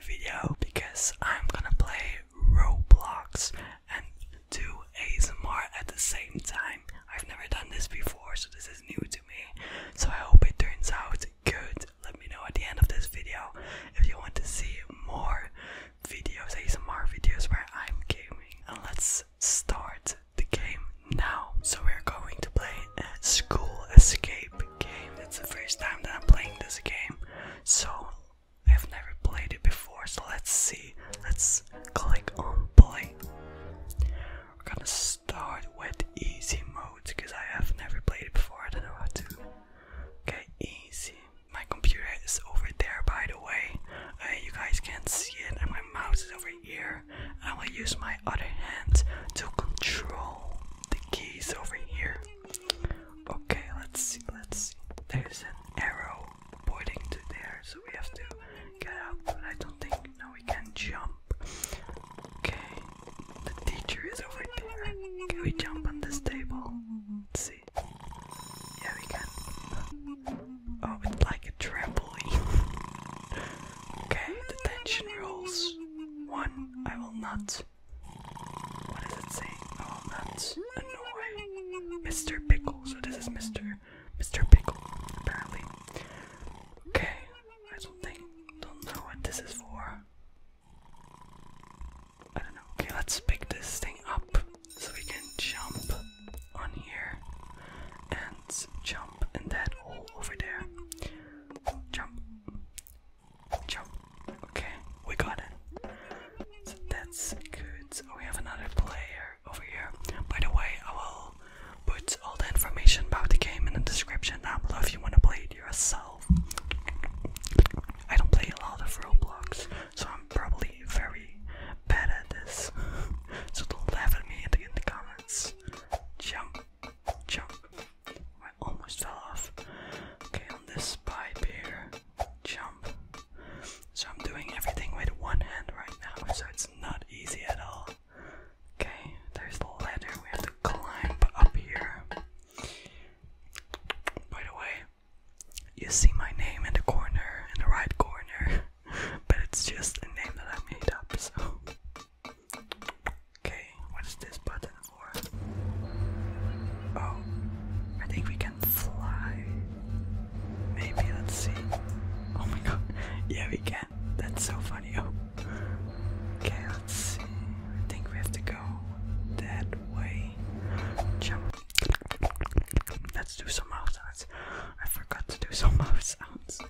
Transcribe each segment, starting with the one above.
video because I'm gonna play Roblox and do ASMR at the same time. I've never done this before, so this is new to me. So I hope it turns out good. Let me know at the end of this video if you want to see more videos, ASMR videos where I'm gaming. And let's start the game now. So we're going to play a school escape game. It's the first time that I'm playing this game. So I've never played it before, so let's see. Let's click on play. We're gonna start with easy mode because I have never played it before, I don't know how to. Okay, easy. My computer is over there by the way. Uh, you guys can't see it, and my mouse is over here. I am gonna use my other hand to control the keys over here. Okay, let's see, let's see. There's an arrow pointing to there, so we have to get up, but I don't think now we can jump. Okay, the teacher is over there. Can we jump on this table? Let's see. Yeah, we can. Oh, it's like a trampoline. okay, detention rules. One, I will not what does it say? Oh, that's annoying. Mr. Pickle. So this is Mr. Mr. Pickle, apparently. Okay, I don't think, don't know what this is for. I don't know. Okay, let's pick this thing up so we can jump on here and jump in that hole over there. Jump. Jump. Okay, we got it. that's good. we have another player over here. By the way, I will put all the information about the game in the description down below if you want to play it yourself. I don't play a lot of Roblox, so I'm probably very bad at this. so don't laugh at me in the comments. Jump, jump almost fell off. Okay, on this pipe here, jump. So I'm doing everything with one hand right now, so it's not easy at all. Okay, there's the ladder we have to climb up here. By the way, you see my name in the corner, in the right corner, but it's just a name that I made up, so. Okay, what is this button Oh, I think we can fly. Maybe, let's see. Oh my god. Yeah, we can. That's so funny. Oh. Okay, let's see. I think we have to go that way. Let's do some mouth sounds. I forgot to do some mouth sounds.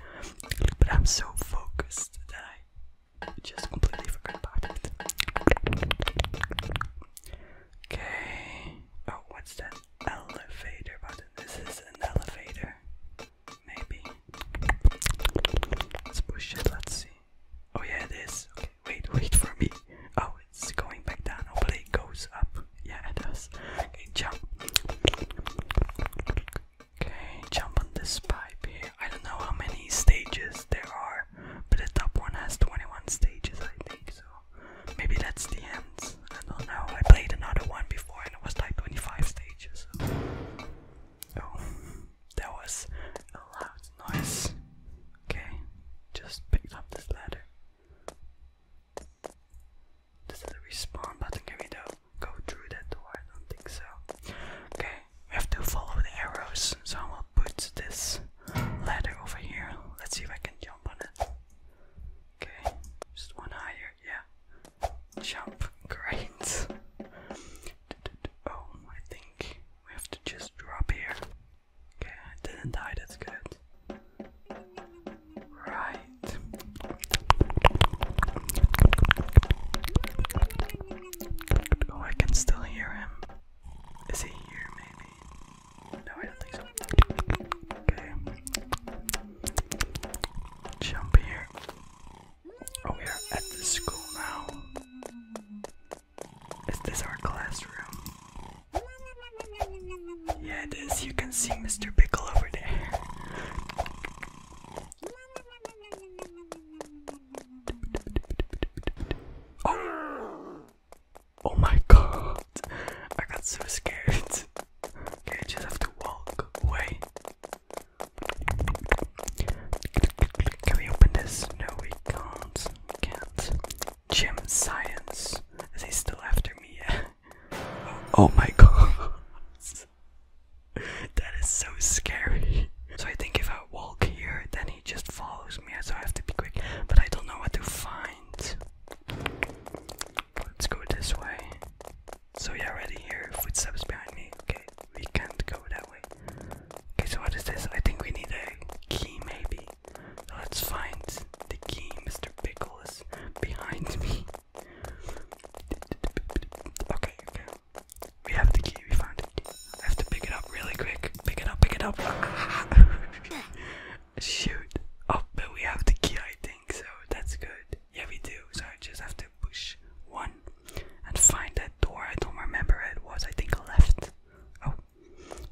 But I'm so focused today. Just completely forgot about it. Okay. Oh, what's that elevator button? This is an elevator. Maybe. Let's push it. Let's see. Oh yeah, it is. Okay, wait, wait for me. Oh, it's going back down. Hopefully it goes up. Yeah, it does. Okay, jump. Okay, jump on this pipe here. I don't know how many stages there are, but the top one has 21 stages, I think. So maybe that's the end. I don't know. I played another one before and it was like 25 stages. So. Oh, that was a loud noise. Okay, just picked up this ladder. Does the respawn button? Can go through that door? I don't think so. Okay, we have to follow the arrows, so I will put this ladder over here. Let's see if I can jump on it. Okay, just one higher, yeah. Jump, great. Oh, I think we have to just drop here. Okay, I didn't die, that's good. Right. Oh, I can still hear him. Is he here, maybe? No, I don't think so. Okay. Jump here. Oh, we are at the school now. Is this our classroom? Yeah, it is. You can see Mr. Pickle over there. Oh. oh. my god, I got so scared. Okay, I just have to walk away. Can we open this? No, we can't. We can't. Gym science. Is he still after me? oh, my god. that is so scary. So I think if I walk here, then he he just follows me, so I have to be quick. But I don't know what to find. Let's go this way. So yeah, already here, footsteps behind me. Okay, we can't go that way. Okay, so what is this? I think we need a key, maybe. let's find the key. Mr. Pickle is behind me. Okay, okay. We have the key, we found it. key. I have to pick it up really quick. Pick it up, pick it up. Shoot. Oh, but we have the key, I think, so that's good. Yeah, we do. So I just have to push one and find that door. I don't remember it was. I think left. Oh,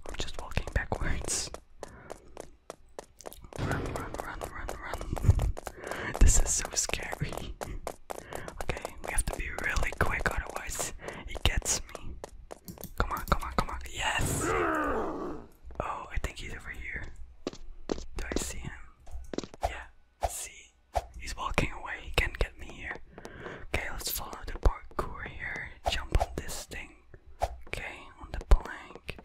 I'm just walking backwards. Run, run, run, run, run. This is so scary. Okay, we have to be really quick, otherwise, it gets me. Come on, come on, come on. Yes! Oh, I think he's over here. Do I see him? Yeah, see? He's walking away. He can't get me here. Okay, let's follow the parkour here. Jump on this thing. Okay, on the plank.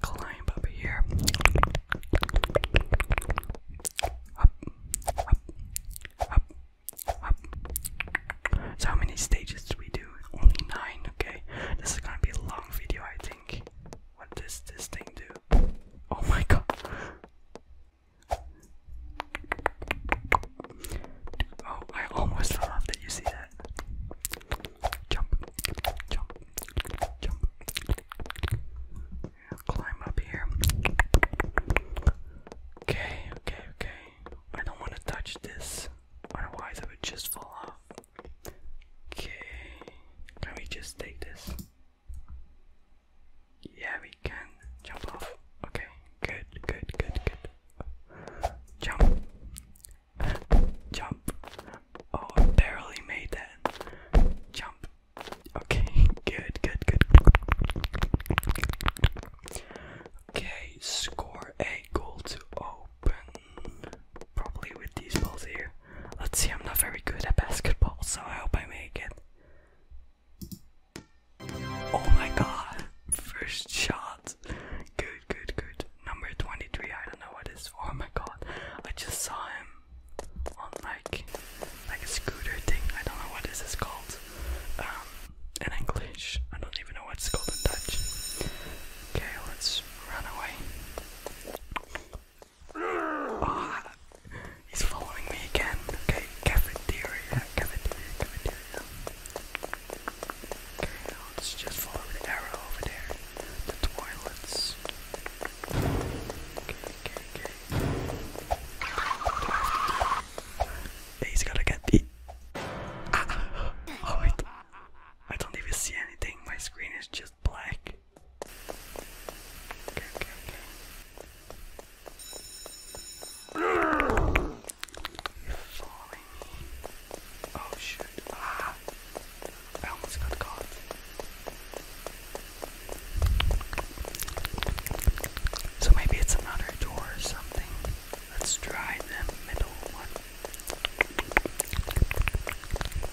Climb up here. Up, up, up, how many stages do we do? Only nine, okay. This is gonna be a long video I think. What does this thing do? Oh my god. Oh, I almost fell off. you see that? Jump, jump, jump climb up here. Okay, okay, okay. I don't want to touch this, otherwise I would just fall off. Okay, can we just take this? Yeah, we can jump off. Okay, good, good, good, good. Jump, jump. Oh, barely made that. Jump, Okay, good, good, good. Okay, score a goal to open. Probably with these balls here. Let's see, I'm not very good at basketball, so I hope I make it. Oh my god, first shot. Good, good, good. Number 23, I don't know what is. Oh my god, I just saw him like like a scooter thing. I don't know what this is called. Um, in English, I don't even know what it's called in Dutch. Okay, let's run away. Oh, he's following me again. Okay, cafeteria, cafeteria, cafeteria. Okay, now let's just follow the arrow over there. The toilets. Okay, okay, okay. Do I have to do He's gonna get the. Oh, ah, I I don't even see anything. My screen is just black. Oh shoot. Ah. I almost got caught. So maybe it's another door or something. Let's try the middle one.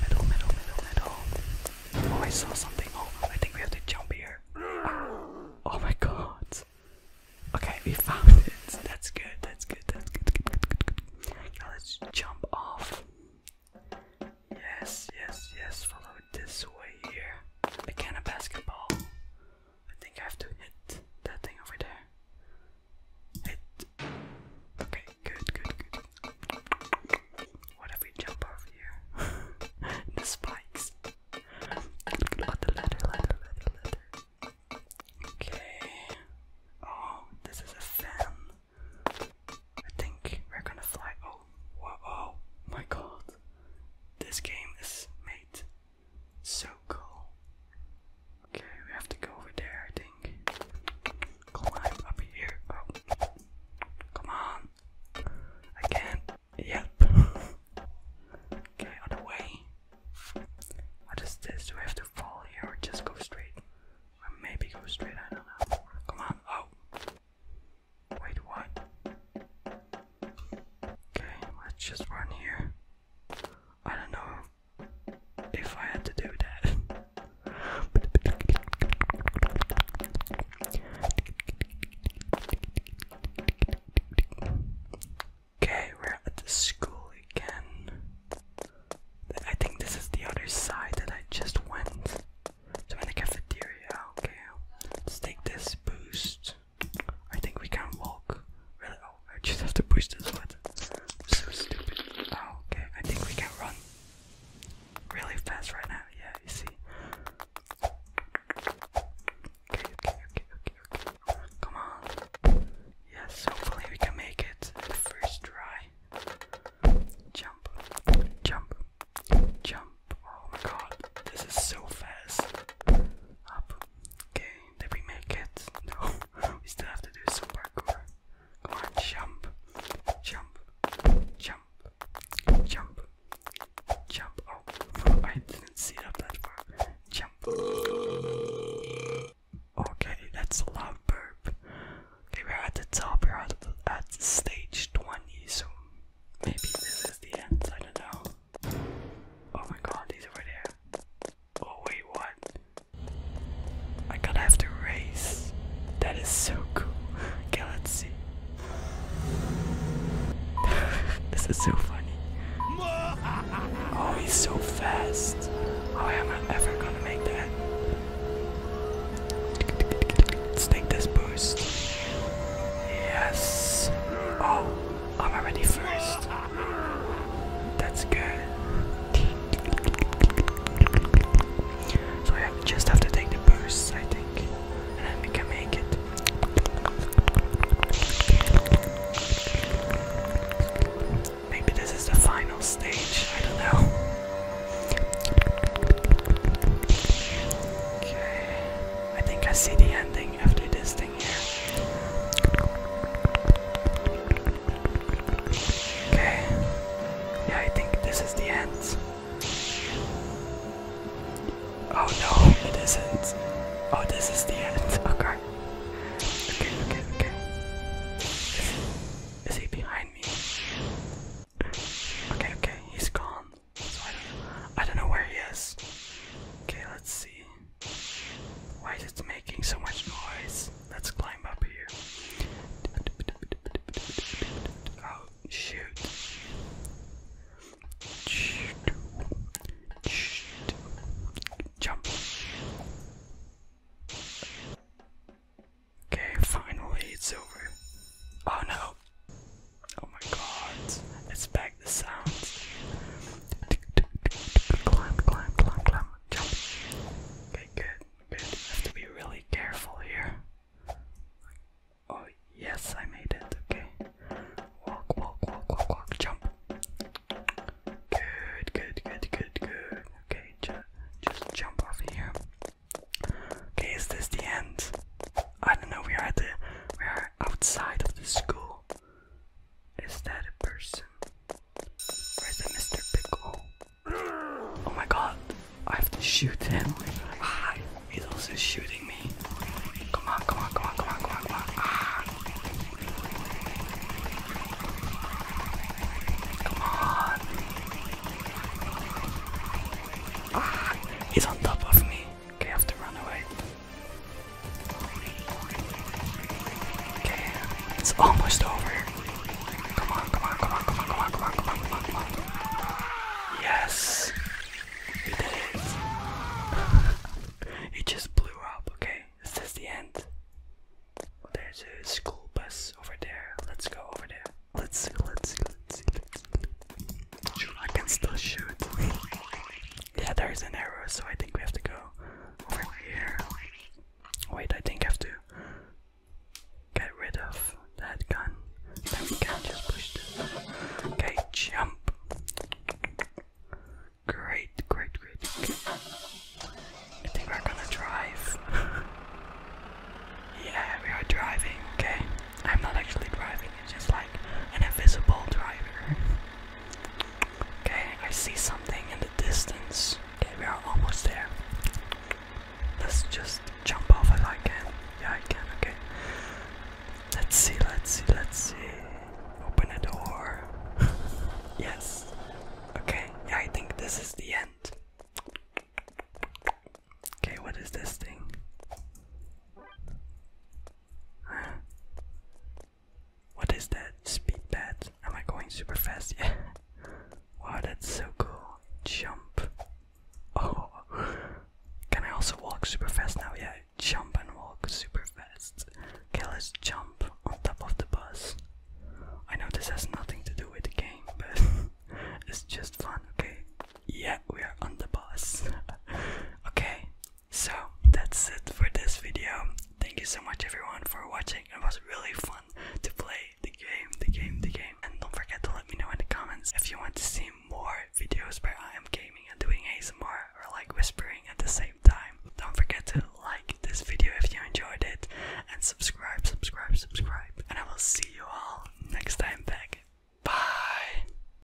Middle, middle, middle, middle. Oh, I saw something. Oh, I think we have to jump here. Oh my god. Okay, we found it. That's good, that's good, that's good, Now let's jump off. Yes, yes, yes, this way here. A can of basketball. I think I have to hit that thing over there. Hit. Okay, good, good, good. What if we jump over here? the spikes. Oh, the ladder, ladder, ladder, ladder. Okay. Oh, this is a fan. I think we're gonna fly. Oh, wow, oh my god. This game is made so cool. Okay, we have to go over there, I think. Climb up here. Oh. Come on. I can't. Yep. okay, other way. What is this? Do we have to fall here or just go straight? Or maybe go straight, I don't know. Come on. Oh. Wait, what? Okay, let's just run here. I don't know if I had to do that. Okay, we're at the school again. I think this is the other side that I just went. So in the cafeteria, okay. Let's take this boost. I think we can walk. Really? Oh, I just have to push this button. So stupid. Oh, okay. I think we can run really fast right now. Yeah, you see. Okay, okay, okay, okay, okay. Come on. Yes, hopefully we can make it the first try. Jump, jump, Jump. Oh my god, this is so fast. Up. Okay, did we make it? No, we still have to do some parkour. Come on, jump. Jump. Jump. Jump. Jump. Oh, I didn't see that far. Jump. Okay, that's a lot of burp. Okay, we're at the top, we're at stage 20, so maybe this is the end, I don't know. Oh my god, he's over there. Oh wait, what? I gotta have to race. That is so cool. Okay, let's see. this is so funny. Oh, he's so fast. How am I ever gonna make that? Let's take this boost. Yes. Oh, I'm already first. That's good. So I just have to take the bursts, I think, and then we can make it. Maybe this is the final stage, I don't know. Okay, I think I see the ending thing after this thing here. Okay. Yeah, I think this is the end. Oh no, it isn't. Oh, this is the end. Okay. Okay, okay, okay. Is he, is he behind me? Okay, okay, he's gone. I don't know where he is. Okay, let's see. Why is it making so much noise? Let's climb up here. Oh, shoot. Jump. Okay, finally it's over. Oh no, Oh my god. It's back the sounds. Climb, climb, climb, climb. Jump. Okay, good, good. Have to be really careful here. Oh yes, I made it. Okay. Walk, walk, walk, walk, walk, jump. Good, good, good, good, good. Okay, ju just jump off here. Okay, is this the end? I don't know. We are at the we are outside of the school. Is that a person? Where's the Mr. Pickle? Oh my god, I have to shoot him. Ah, he's also shooting me. Come on, come on, come on, come on, come on, come on. Ah. Come on. Ah, he's on top of me. Okay, have to run away. Okay, it's almost over. Come on, come on, come on, come on, come on, come on, come on, come on, come on. Yes! We it. just blew up, okay? this Is the end? There's a school bus over there. Let's go over there. Let's, let's, let's, let's, I can still shoot. Yeah, there's an arrow, so I think we have to go over here. Wait, I think I have to get rid of that gun. Then we can just push Okay, jump. Great, great, great. I think we're gonna drive. yeah, we are driving, okay. I'm not actually driving, it's just like an invisible driver. Okay, I see something in the distance. Okay, we are almost there. Let's just jump off if I can. Yeah, I can, okay. Let's see, let's see, let's see. Open a door. yes. Okay, yeah, I think this is the end. Okay, what is this thing? What is that? Speed pad? Am I going super fast? Yeah. Wow, that's so cool. Jump. Oh. Can I also walk super fast now? Yeah, jump and walk super fast. Okay, let's jump on top of the bus. I know this has nothing to do with the game, but it's just fun, okay? Yeah, we are on the bus. okay, so that's it for this video. Thank you so much everyone for watching. It was really fun to play the game, the game, the game. And don't forget to let me know in the comments if you want to see more videos where I am gaming and doing ASMR or like whispering at the same time. Don't forget to like this video if you enjoyed it and subscribe, subscribe, subscribe. And I will see you all next time back. Bye!